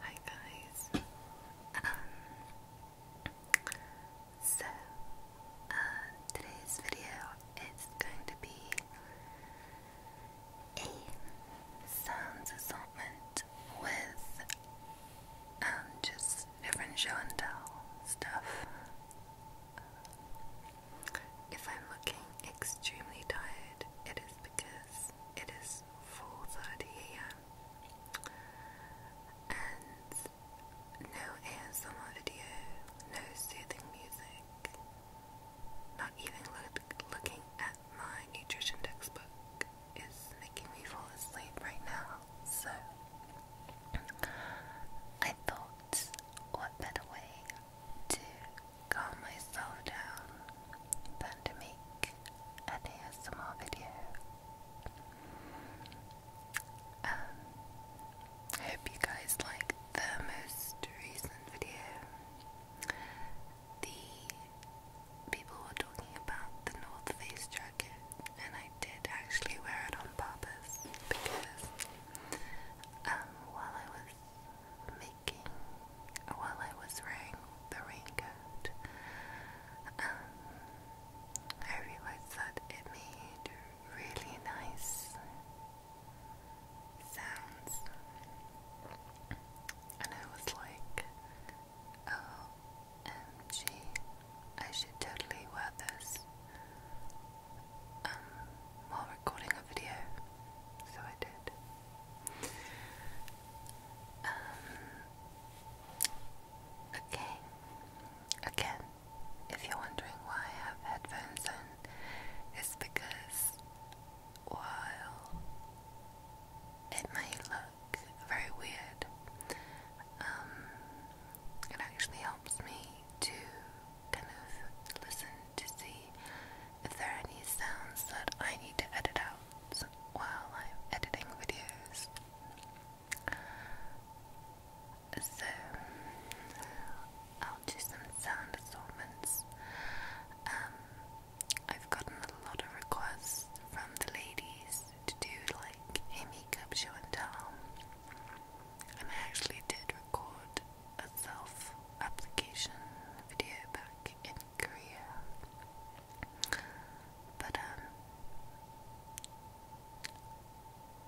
Hi guys. Um, so uh, today's video is going to be a sounds assortment with um, just different show and tell stuff. If I'm looking extremely tired, it is because it is was 4.30 am and no ASMR video, no soothing music, not even look, looking at my nutrition textbook is making me fall asleep right now, so I thought what better way to calm myself down than to make an ASMR video. Um, I hope you guys liked the most recent video. The people were talking about the North Face jacket, and I did actually wear it on purpose because um, while I was while I was wearing the raincoat. Um, I realized that it made really nice sounds, and I was like, "OMG, oh, I should totally wear this." Um, while recording a video, so I did. Um, okay. Again, if you're wondering why I have headphones on, it's because while it may look very weird, um, it actually helps me to kind of listen to see if there any sounds that I need to edit out while I'm editing videos. So, I'll do some sound assortments. Um, I've gotten a lot of requests from the ladies to do like a makeup show and tell. I actually did record a self application video back in Korea. But, um,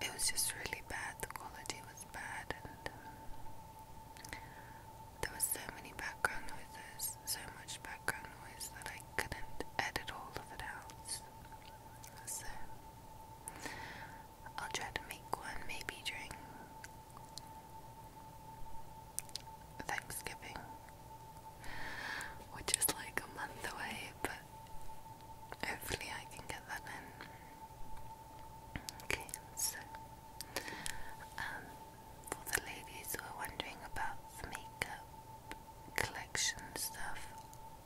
it was just really bad. The quality was bad, and um, there was so many background noises, so much background noise that I couldn't edit all of it out. So, I'll try to make one maybe during Thanksgiving, which is like a month away, but hopefully I can get that in. Okay, so um, for the ladies who are wondering about makeup collection stuff,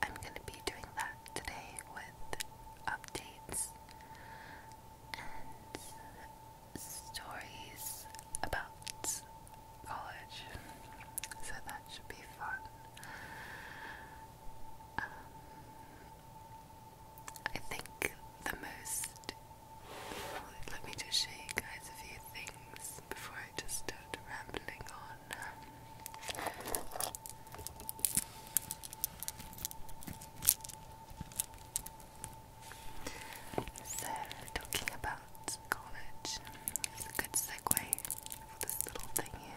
I'm going to be doing that today with updates and stories about college, so that should be fun. Um, I think the most. Let me just show you guys a few things before I just start rambling on. Um, so, talking about college is a good segue for this little thing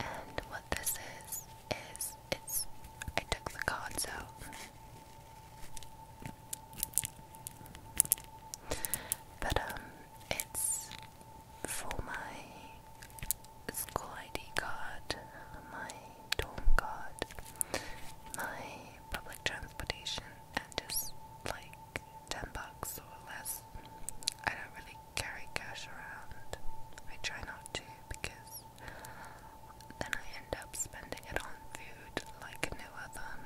And what this is, is it's. I took the cards out. But, um, it's for my school ID card, my dorm card, my public transportation, and just like 10 bucks or less. I don't really carry cash around. I try not to because then I end up spending it on food like no other.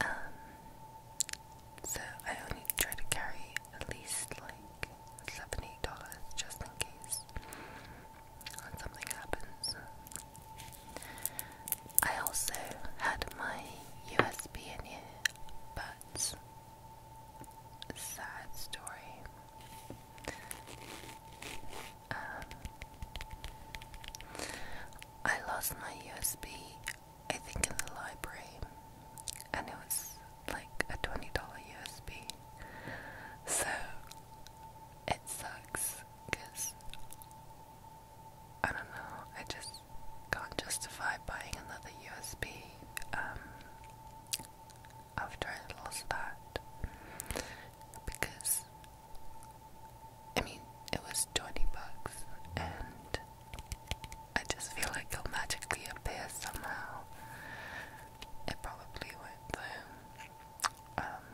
Um, so I only try to carry at least like seven, dollars just in case something happens. I also had my USB in here, but sad story. Um, I lost my USB I think in the library, and it was like a $20 USB. So it sucks because I don't know, I just can't justify buying another USB um, after I lost that because I mean it was 20 bucks and I just feel like he'll magically appear somehow. It probably would though. Um,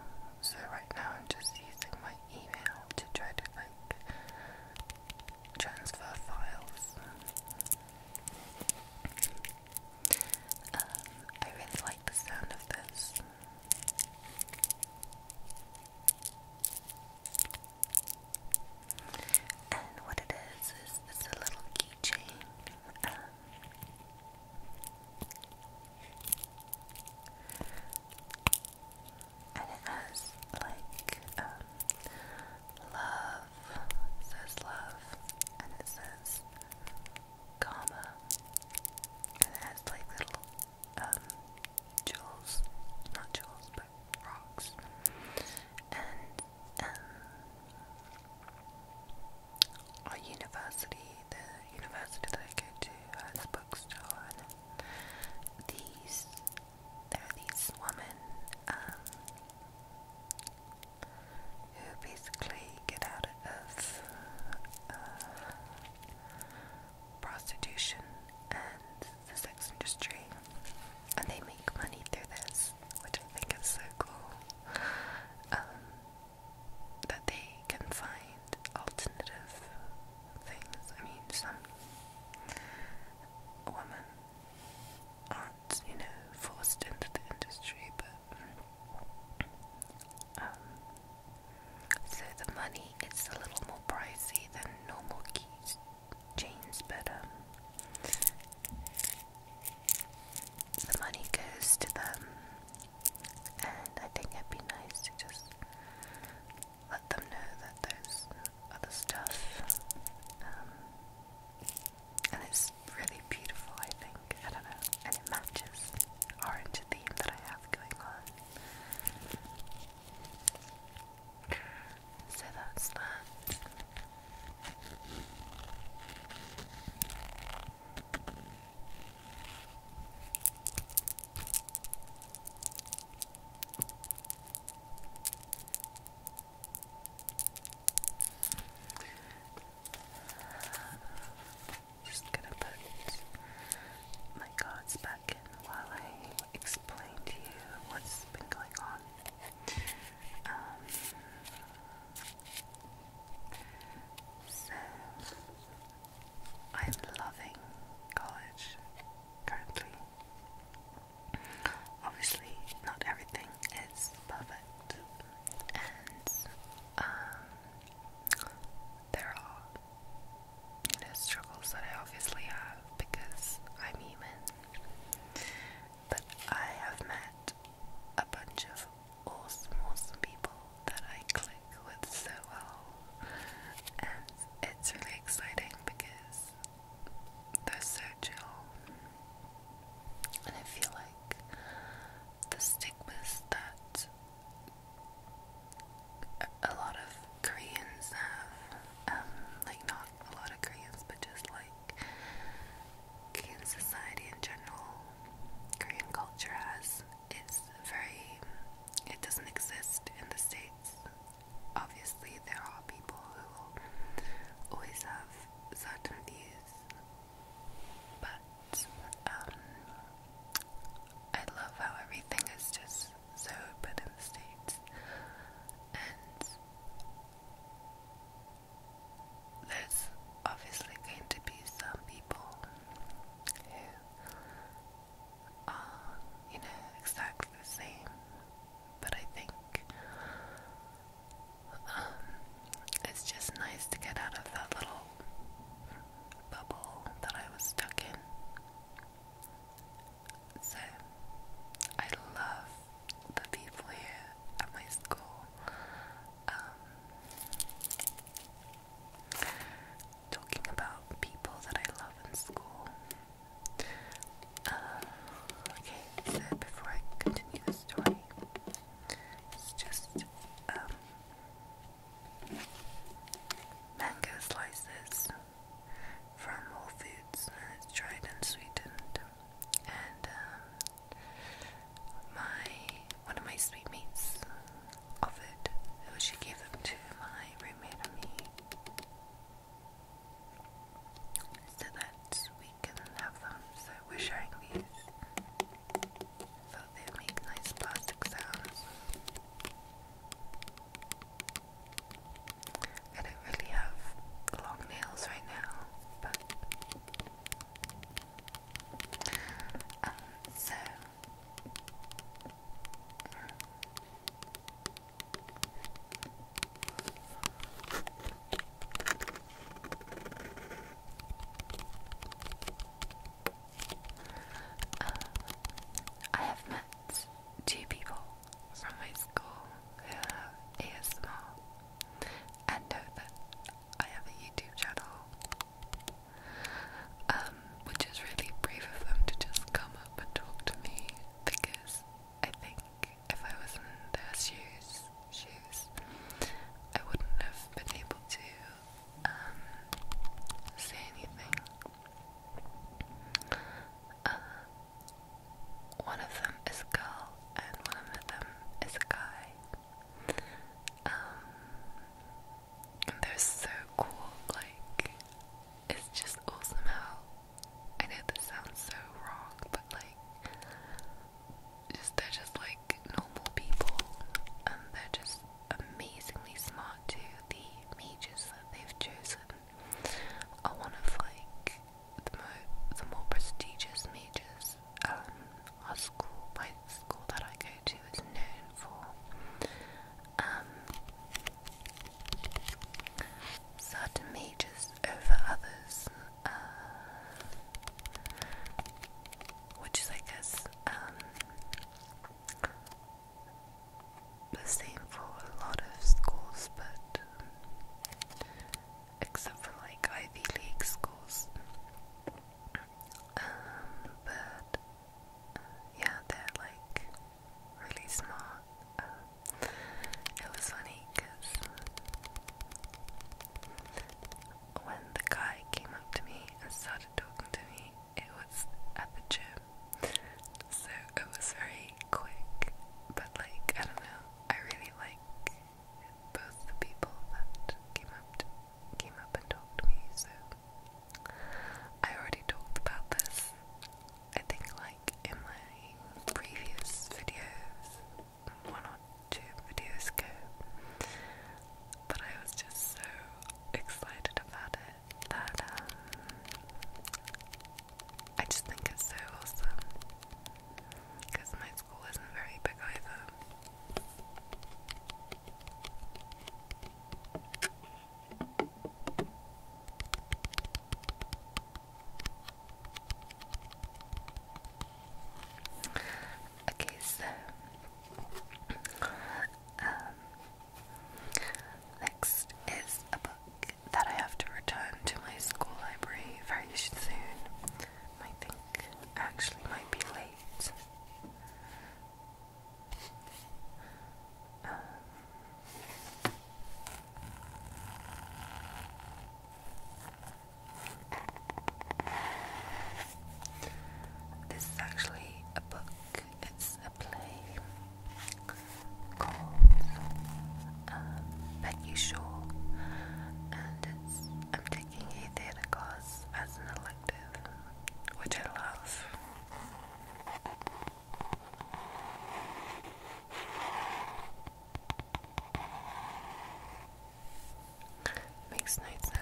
so right now I'm just using my email to try to like transfer files. Um, I really like the sound of this. And what it is is it's a little keychain. Um, and it has like um, love, says love, and it says comma, and it has like little um, jewels, not jewels, rocks. And um, our university, the university that I go to, has a bookstore, and these there are these women um, who basically get out of uh, prostitution and the sex industry and they make money through this, which I think is so cool. Um, that they can find alternative things. I mean, some women aren't, you know, forced into the industry, but um, so the money is a little more pricey than normal keys chains, but um, the money goes to them, and I think it'd be nice to just let them know that there's other stuff. Um, and it's really beautiful, I think. I don't know, and it matches orange theme that I have going on. So that's that. Just gonna put my cards back in while I explain to you what's been going on. Um, so I'm loving college currently. Obviously, not everything is perfect, and um, there are you know struggles that I obviously have because I'm human. But I have met a bunch of awesome, awesome people that I click with so well, and it's really exciting because they're so chill, and I feel like the stigmas that a lot of Koreans have, um, like not a lot of Koreans, but just like like Korean society in general, Korean culture has it's very it doesn't exist in the States. Obviously there are people who always have certain views. But um I love how everything is just so open in the States and there's obviously going to be some people who are, you know, exactly the same, but I think um, it's just nice to get out of that little bubble that I was stuck in. So, I love the people here at my school um, talking about people that I love in school. Uh, okay, so before I continue the story, it's just um, mango slices from Whole Foods, and it's dried and sweetened. And um, my one of my sweetmeats offered, she gave them to my roommate and me, so that we can have them. So we're sharing these. Thought they'd make nice plastic sounds. I don't really have long nails right now, but um, so uh, I have met two people from my school ASMR and know that I have a YouTube channel, um, which is really brave of them to just come up and talk to me because I think if I was in their shoes, shoes, I wouldn't have been able to um, say anything. Uh, one of them is a girl and one of them is a guy. Um, they're so cool, like, it's just awesome how, I know this sounds so wrong, but like, just they're just like normal people, and they're just amazingly smart too, the mages that they've chosen I want to like the more prestigious majors. Um, our school, my school that I go to, is known for. Um, certain majors over others, uh, which is, I guess, um, the same for a lot of schools, but except for like Ivy League schools. Um, but uh, yeah, they're like really smart. Uh, it was funny because when the guy came up to me and started talking to me, it was at the gym. So it was very quick, but like, I don't know, I really like both the people that came up came up and talked to me. So I already talked about this. I think like in my previous videos, one or two videos ago. But I was just so excited about it that um, I just think it's so awesome because my school isn't very big either. Okay, so um, next is a book that I have to return to my school library very soon. I think actually might be late. Um, this is actually a book, it's a play colds, um, and it's, I'm taking a theatre course as an elective, which I love. Makes nice sounds.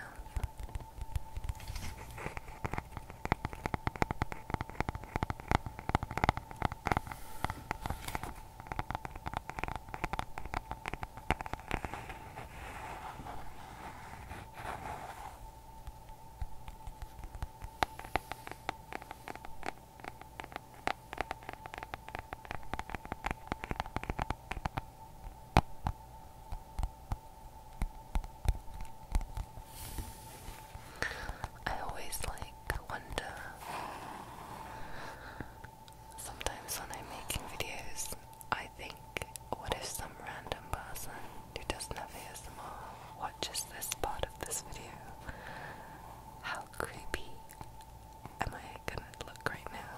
I always like like wonder. Sometimes when I'm making videos, I think, what if some random person who doesn't know have ASMR watches this part of this video? How creepy am I gonna look right now?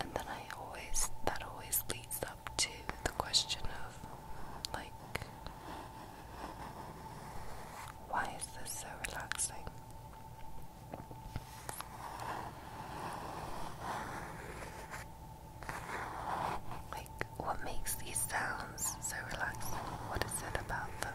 And then I always, that always leads up to the question of, like, why is this so relaxing? Like, what makes these sounds so relaxing? What is it about them?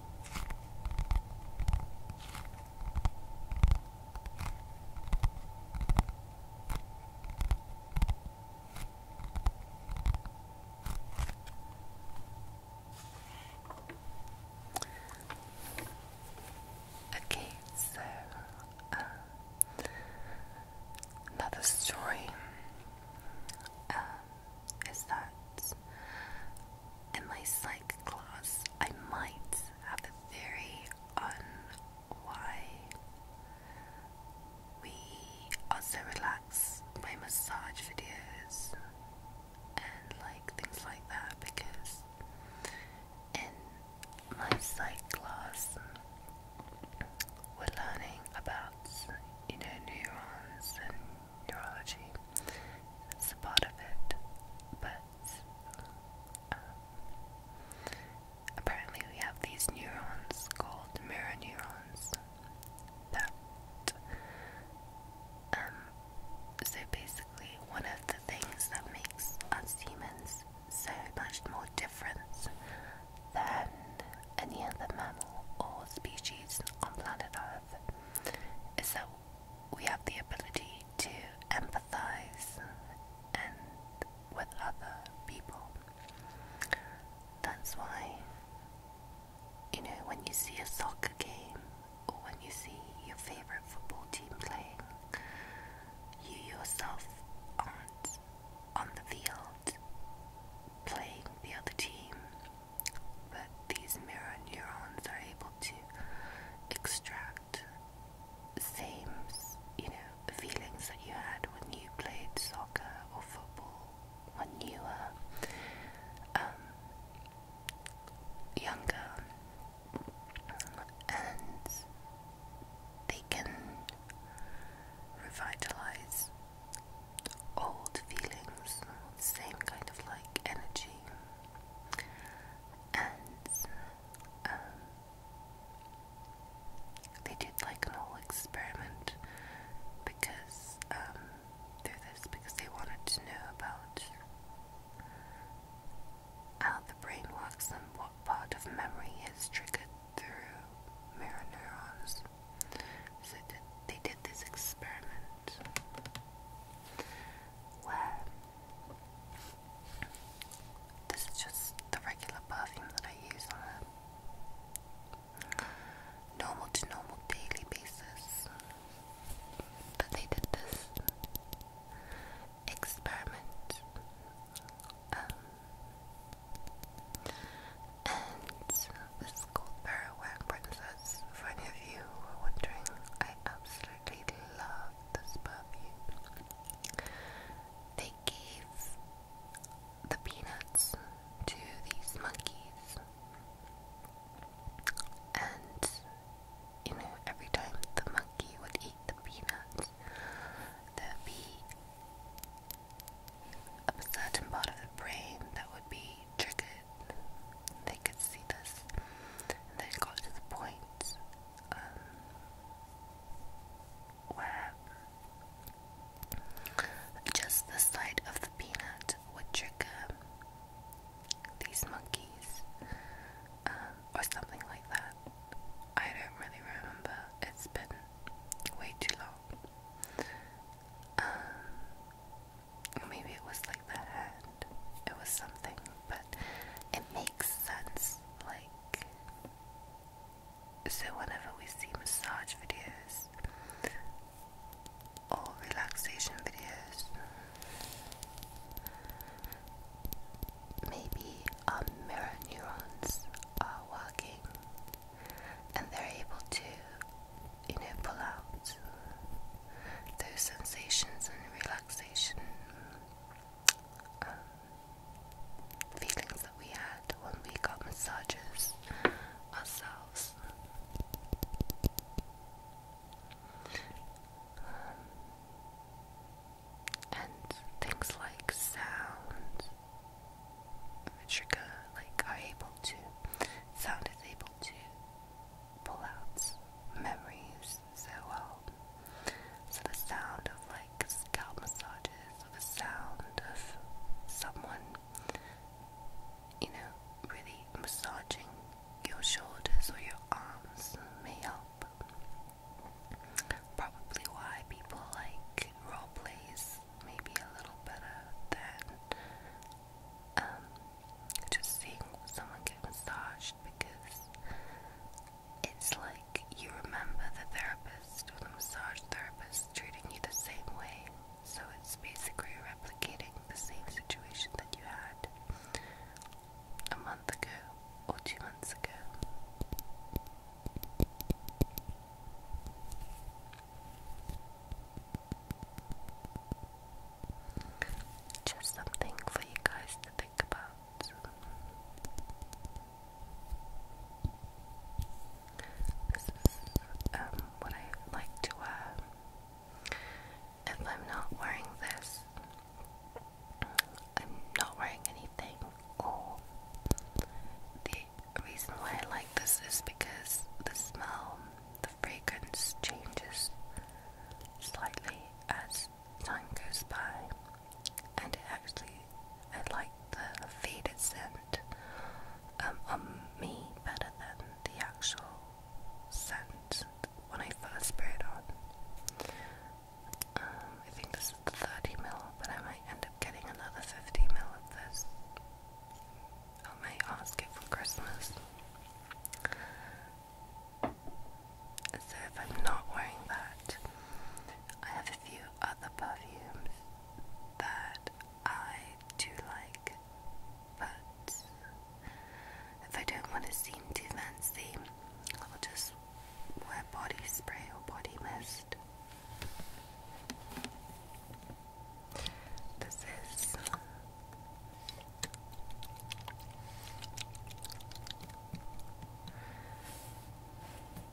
Okay, so uh, another story um, is that in my psych class, I might have a theory on why we are so relaxed by massage videos and like things like that because in my psych class we're learning about you know neurons and neurology. That's a part of it, but um, apparently we have these neurons called mirror neurons that um, so basically one of the things that makes us humans so much more different than any other mammal or species on planet Earth is that we have the ability to empathize and with other people. That's why, you know, when you see a soccer game or when you see your favorite football team playing, you yourself aren't on the field playing the other team that these mirror neurons are able to extract the same, you know, feelings that you had when you played soccer or football when you were um, younger, and they can revitalize old feelings, the same kind of like energy and um, they did like an whole experiment because um, through this because they wanted to know about how the brain works and what part of memory is triggered through mirror neurons. So they did this experiment where this is just the regular perfume that I use on a normal to normal daily basis but they did this experiment um, and this gold called Princess for you who wondering I absolutely absolutely love this perfume. They gave the peanuts to these monkeys, and you know, every time the monkey would eat the peanuts, there'd be a certain part of the brain that would be triggered. They could see this. And they got to the point um, where just the sight of the peanut would trigger these monkeys um, or something like that. I don't really remember. It's been way too long. Um, Maybe it was like the hand. It was something, but it makes sense. Like, so whenever we see massage videos or relaxation videos, maybe our mirror neurons are working and they're able to, you know, pull out those sensations and relaxation um, feelings that we had when we got massages ourselves. Um, and things like sound, trigger, like are able to, sound is able to pullouts, memories so well. So the sound of like scalp massages, or the sound of someone, you know, really massaging your shoulders or your arms may help. Probably why people like role plays maybe a little better than um, just seeing someone get massaged because it's like you remember the therapist or the massage therapist treating you the same way. So it's basically replicating the same situation that you had a month ago or two months ago. Just something for you guys to think about. This is um, what I like to wear. If I'm not wearing this, I'm not wearing anything. Or the reason why I like this is because the smell the fragrance changes slightly as time goes by, and actually, I like the faded scent um, on me better than the actual scent when I first spray it on. Um, I think this is the 30 ml, but I might end up getting another 50 ml of this. I might ask it for Christmas. So if I'm not wearing that, I have a few other perfumes that I do like, but if I don't want to seem too fancy, I will just wear body spray or body mist. This is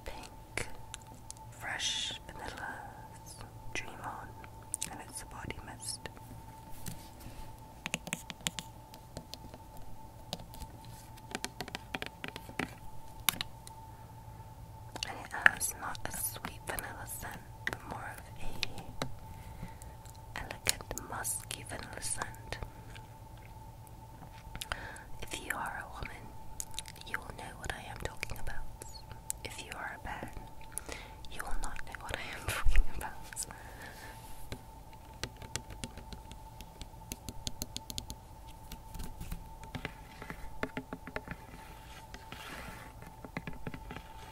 Pink Fresh vanilla, Dream On, and it's a body mist. And it has not a sweet vanilla scent, but more of a elegant musk even listened. If you are a woman, you will know what I am talking about. If you are a man, you will not know what I am talking about.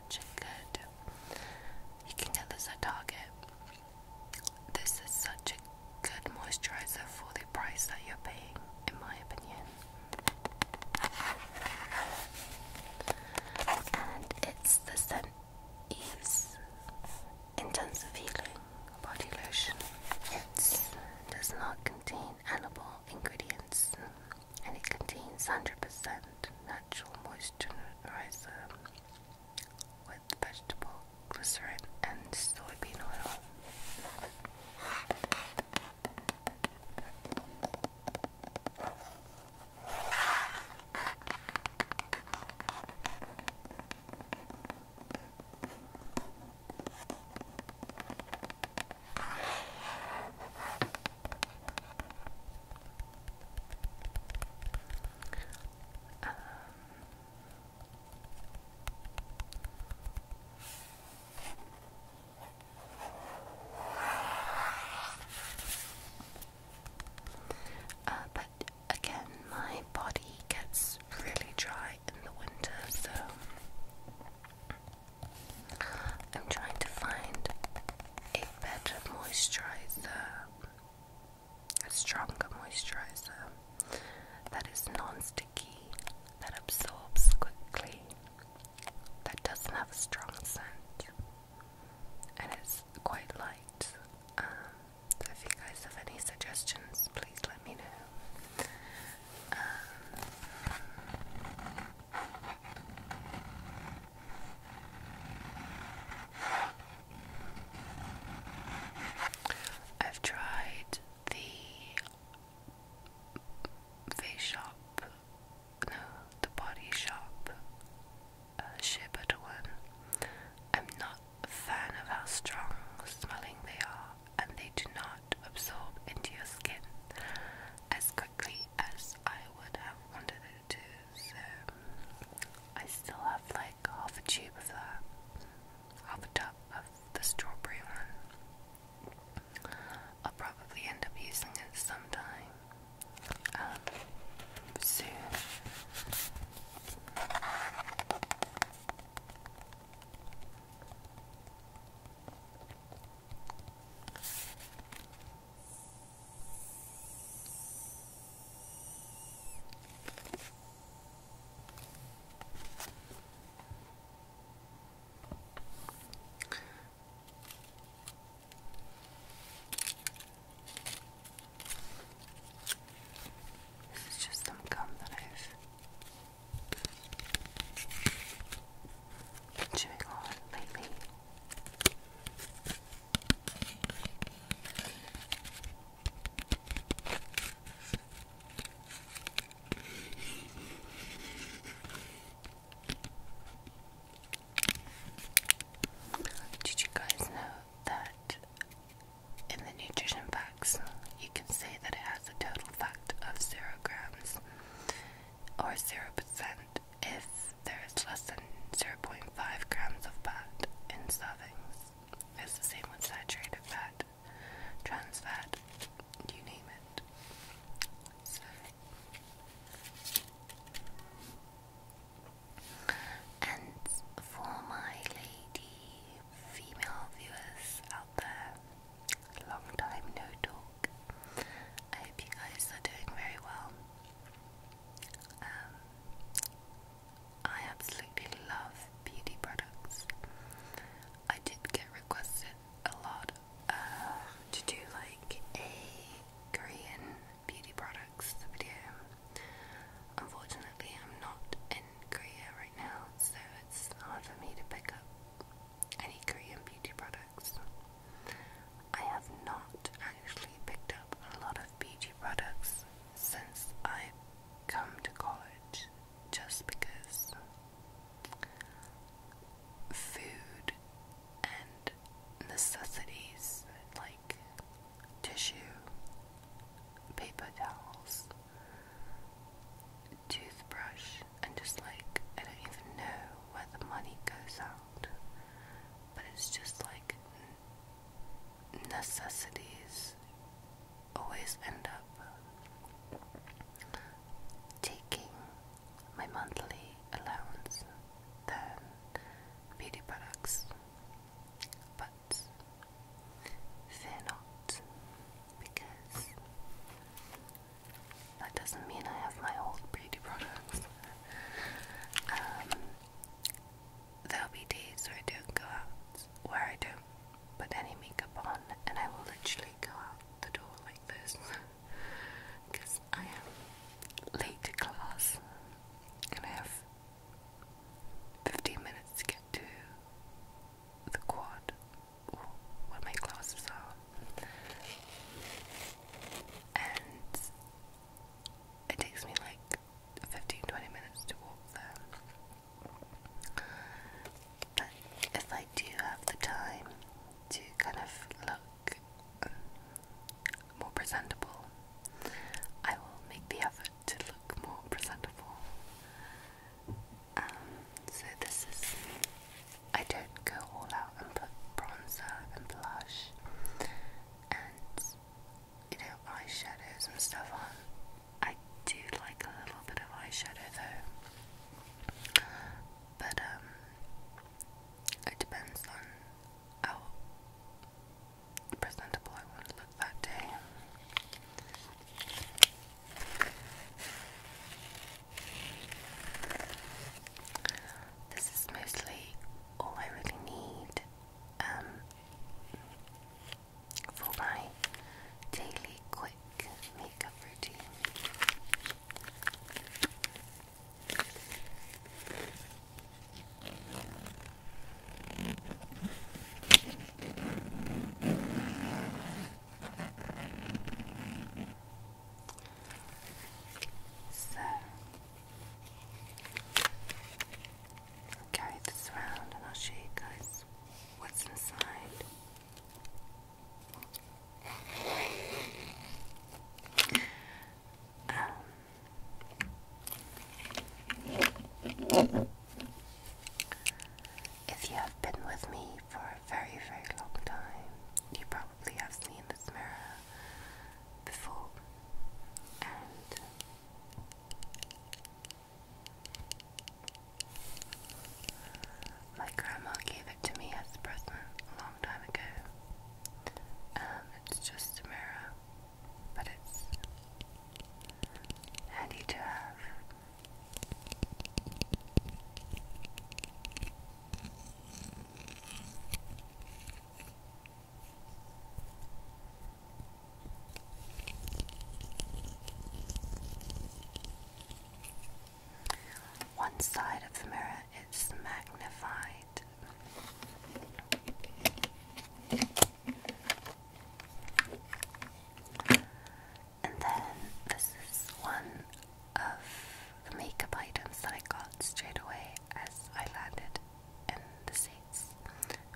such a good. You can get this at Target. This is such a good moisturizer for the price that you're paying, in my opinion. And it's the scent Eve's Intensive Healing Body Lotion. It does not contain edible ingredients and it contains 100% natural moisturizer with vegetable glycerin and soybean oil. Um, uh, but again, my body gets really dry in the winter, so I'm trying to find a better moisturizer, a stronger moisturizer that is non sticky, that absorbs quickly, that doesn't have a strong scent, and it's quite light. Um, so if you guys have any suggestions, please let me know. Um, I've tried the face shop, no, the body shop, uh, shea butter one. I'm not a fan of how strong smelling they are, and they do not absorb into your skin as quickly as I would have wanted to, so I still have like half a tube of that, half a tub of the strawberry one. I'll probably end up using it sometime um, soon. This is just some gum that I've been chewing on lately. Did you guys know that in the nutrition facts you can say that it has a total fact of zero grams or zero percent if there's less than 0.5 grams of fat in servings. It's the same with saturated fat, trans fat, you name it. And for my lady female viewers out there, long time no talk. I hope you guys are doing very well. Um, I absolutely love beauty products. I did get requested a lot uh, to do like a Korean beauty products video. Unfortunately, I'm not in Korea right now, so it's hard for me to pick up any Korean beauty products. I have not actually picked up a lot of beauty products since I've come to college just because food and necessities like tissue, paper towels, toothbrush, and just like I don't even know where the money goes out out, but it's just like necessities always end up taking my monthly allowance than beauty products, but they're not because that doesn't mean I have my old beauty products. Um, there'll be days where I don't go out, where I don't put any makeup on, and I will literally go out the door like this because I am late to class and I have 15 minutes to get to the quad where my classes are and it takes me like 15 minutes to walk there. But if I do have the time to kind of look more presentable, I will make the effort to look more presentable. Um, so this is I don't go all out and put bronzer and blush and you know eyeshadows and stuff on. I do like a little bit of eyeshadow though, but um, it depends on how presentable I want to look that day. This is mostly all I really need um, for my daily quick makeup routine. So I'll carry this around and I'll show you guys what's inside. Um, if you have been with me for a very, very long time, you probably i have seen this mirror before, and my grandma gave it to me as a present a long time ago. Um, it's just a mirror, but it's handy to have. One side of the mirror is magnified. And then this is one of the makeup items that I got straight away as I landed in the States.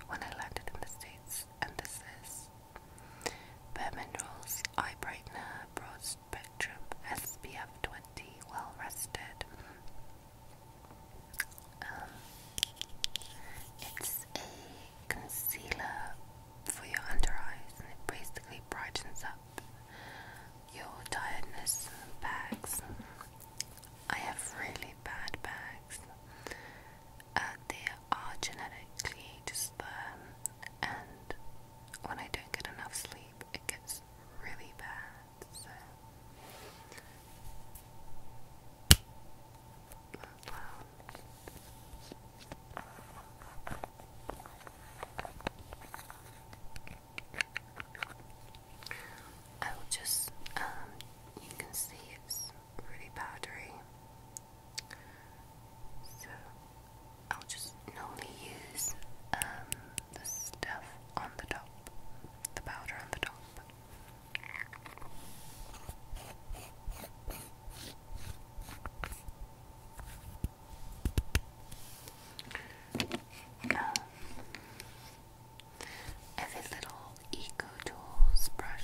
When I landed in the States, and this is Bare Minerals Eye Brightener Broad Spectrum SPF 20 Well Rested. Um, it's a concealer for your under eyes and it basically brightens up your tiredness bags. I have really bad bags. Uh, they are genetically just there, um, and when I don't get enough sleep, it gets really bad. I will just, um, you can see it's pretty powdery. So I'll just normally use um, the stuff on the top, the powder on the top. Um, I little Eco Tools brush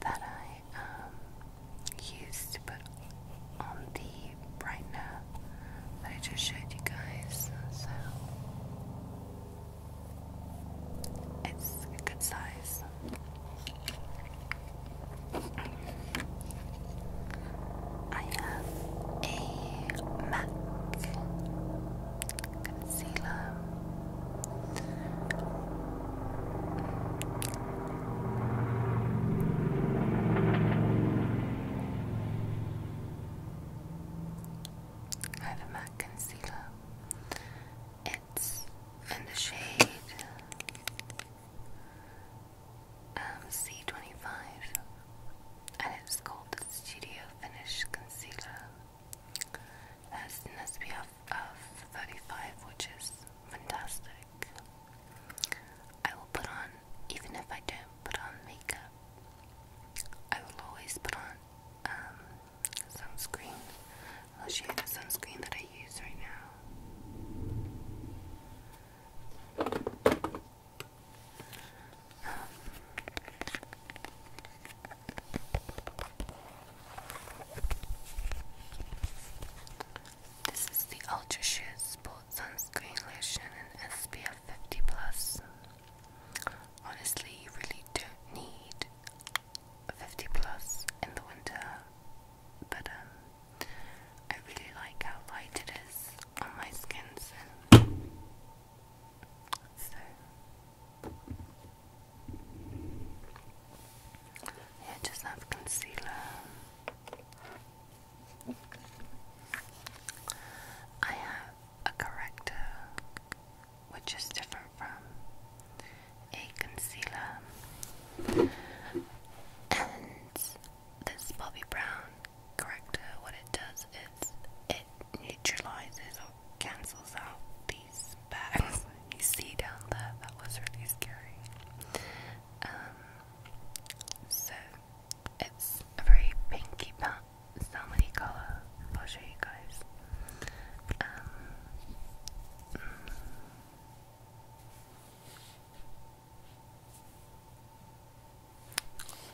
that I um, used to put on the brightener that I just showed you guys. So it's a good size. I have a MAC concealer over Mac Concealer. It's in the shade um, C25 and it's called the Studio Finish Concealer. That's an SPF of 35, which is fantastic. I will put on, even if I don't put on makeup, I will always put on um, sunscreen. I'll show you the sunscreen that I use right now. Um, this is the Ultra Sheer sports Sunscreen Lotion and SPF 50 Plus. Honestly, you really don't need a 50 Plus in the winter, but um, I really like how light it is on my skin, so. Yeah, just have concealer. I have a corrector, which is different from a concealer. And this Bobbi Brown corrector, what it does is it neutralizes or cancels out these bags. you see down there. That was really scary. Um, so it's a very pinky pat, so i I'll show you guys. Um,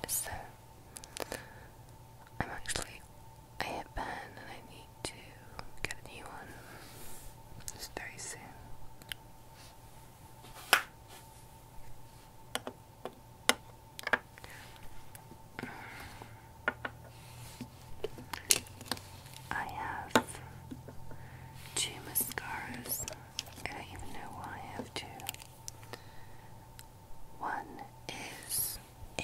so, I'm actually, I hit burn and I need to get a new one. It's very soon. I have two mascaras. I don't even know why I have two. One is a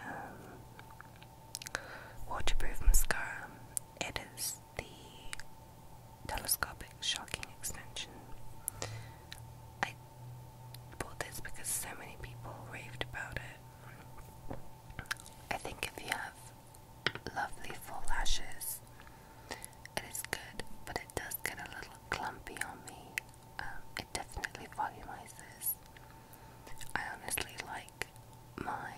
um, Waterproof mascara. It is the telescopic shocking extension. I bought this because so many people raved about it. I think if you have lovely full lashes, it is good, but it does get a little clumpy on me. Um, it definitely volumizes. I honestly like my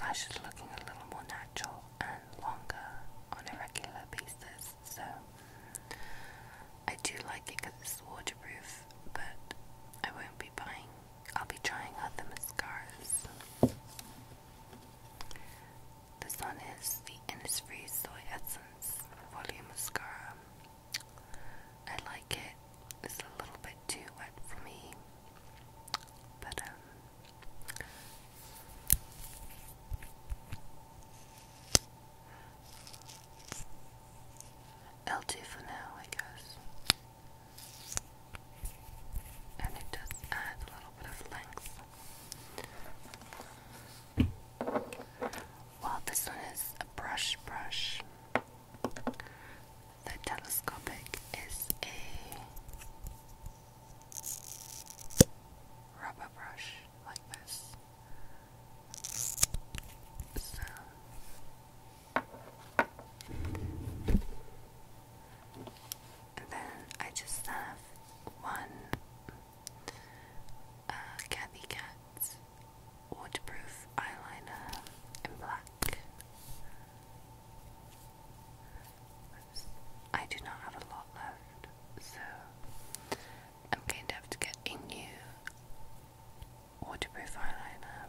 lashes looking a little more natural and longer on a regular basis. So I do like it because it's waterproof, but I won't be buying, I'll be trying other mascaras. This one is the Innisfree Soy Essence Volume Mascara. I like it is a little bit too wet for me, but um, I'll for now, I guess. And it does add a little bit of length. Well, this one is a brush brush. The telescopic is a rubber brush like this. So and then I just have one uh Kathy waterproof eyeliner in black. I do not have a lot left, so I'm going to have to get a new waterproof eyeliner.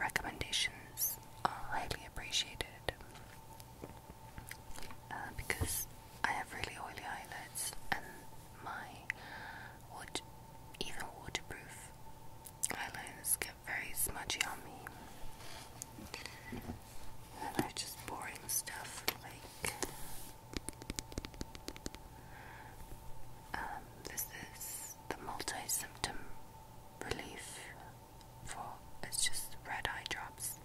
Recommendations are highly appreciated uh, because I have really oily eyelids and my wood, even waterproof Eyelines get very smudgy on me. And I just boring stuff like um, this is the multi symptom relief for it's just red eye drops.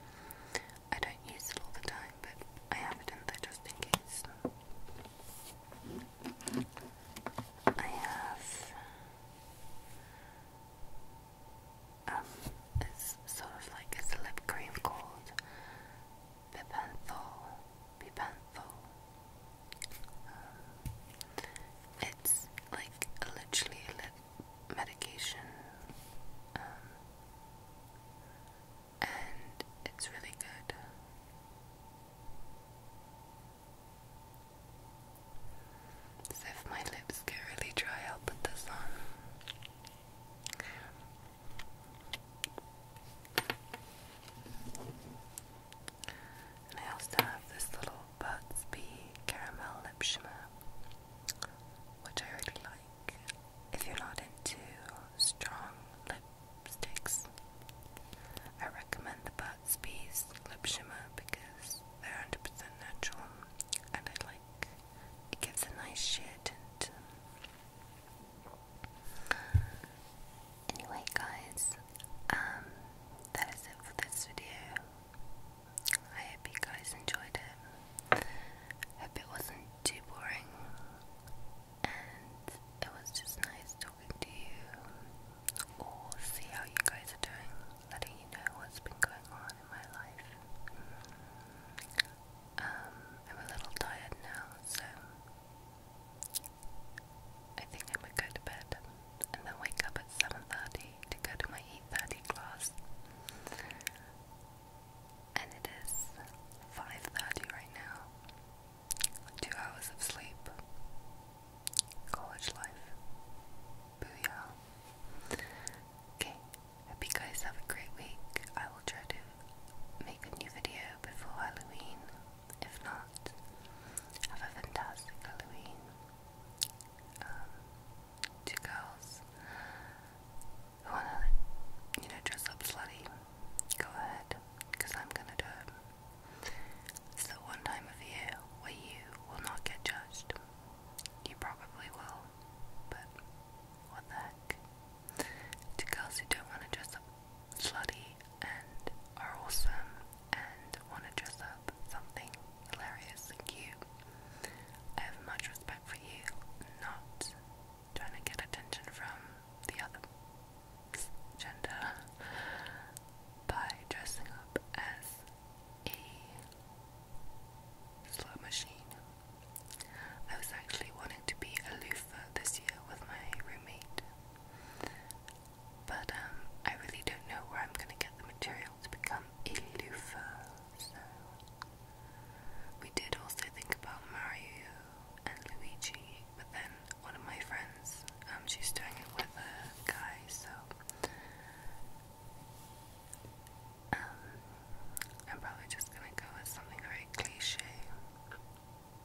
I don't use it all the time, but I have it in there just in case. I have um it's sort of like a lip cream called Pipenthol. Pipenthol. Um, it's like literally a lip medication. Um, and it's really good. So if my lips get really dry, I'll put this on. And I also have this little Burt's caramel lip shimmer, which I really like. If you're not into strong lip sticks. I recommend the Burt's lip shimmer because they're 100% natural and I like it gives a nice sheer Anyway guys, um, that is it for this video. I hope you guys enjoyed it. Hope it wasn't too boring and it was just nice talking to you or see how you guys are doing, letting you know what's been going on in my life. Um, I'm a little tired now, so I think I'm gonna go to bed and then wake up at 7.30 to go to my 8.30 class. And it is 5.30 right now. Two hours of sleep. College life. Booyah. Okay, hope you guys have a great week. I will try to make a new video before Halloween. If not, have a fantastic Halloween. Um, two girls who wanna, you know, dress up slutty, go ahead, because I'm gonna do it. It's the one time of year where you will not get judged. You probably will, but what the heck? To girls who don't want to dress up slutty and are awesome and want to dress up something hilarious and cute, I have much respect for you not trying to get attention from the other gender by dressing up as a slot machine. I was actually wanting to be a loofah this year with my roommate, but um, I really don't know where I'm going to get the material to become a loofah, so we did also think about Mario and Luigi, but then one of my friends um, she's doing it with a guy, so um, I'm probably just gonna go with something very cliche,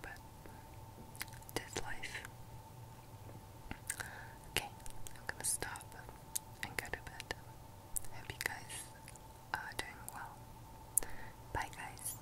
but this life. Okay, I'm gonna stop and go to bed. Hope you guys are doing well. Bye, guys.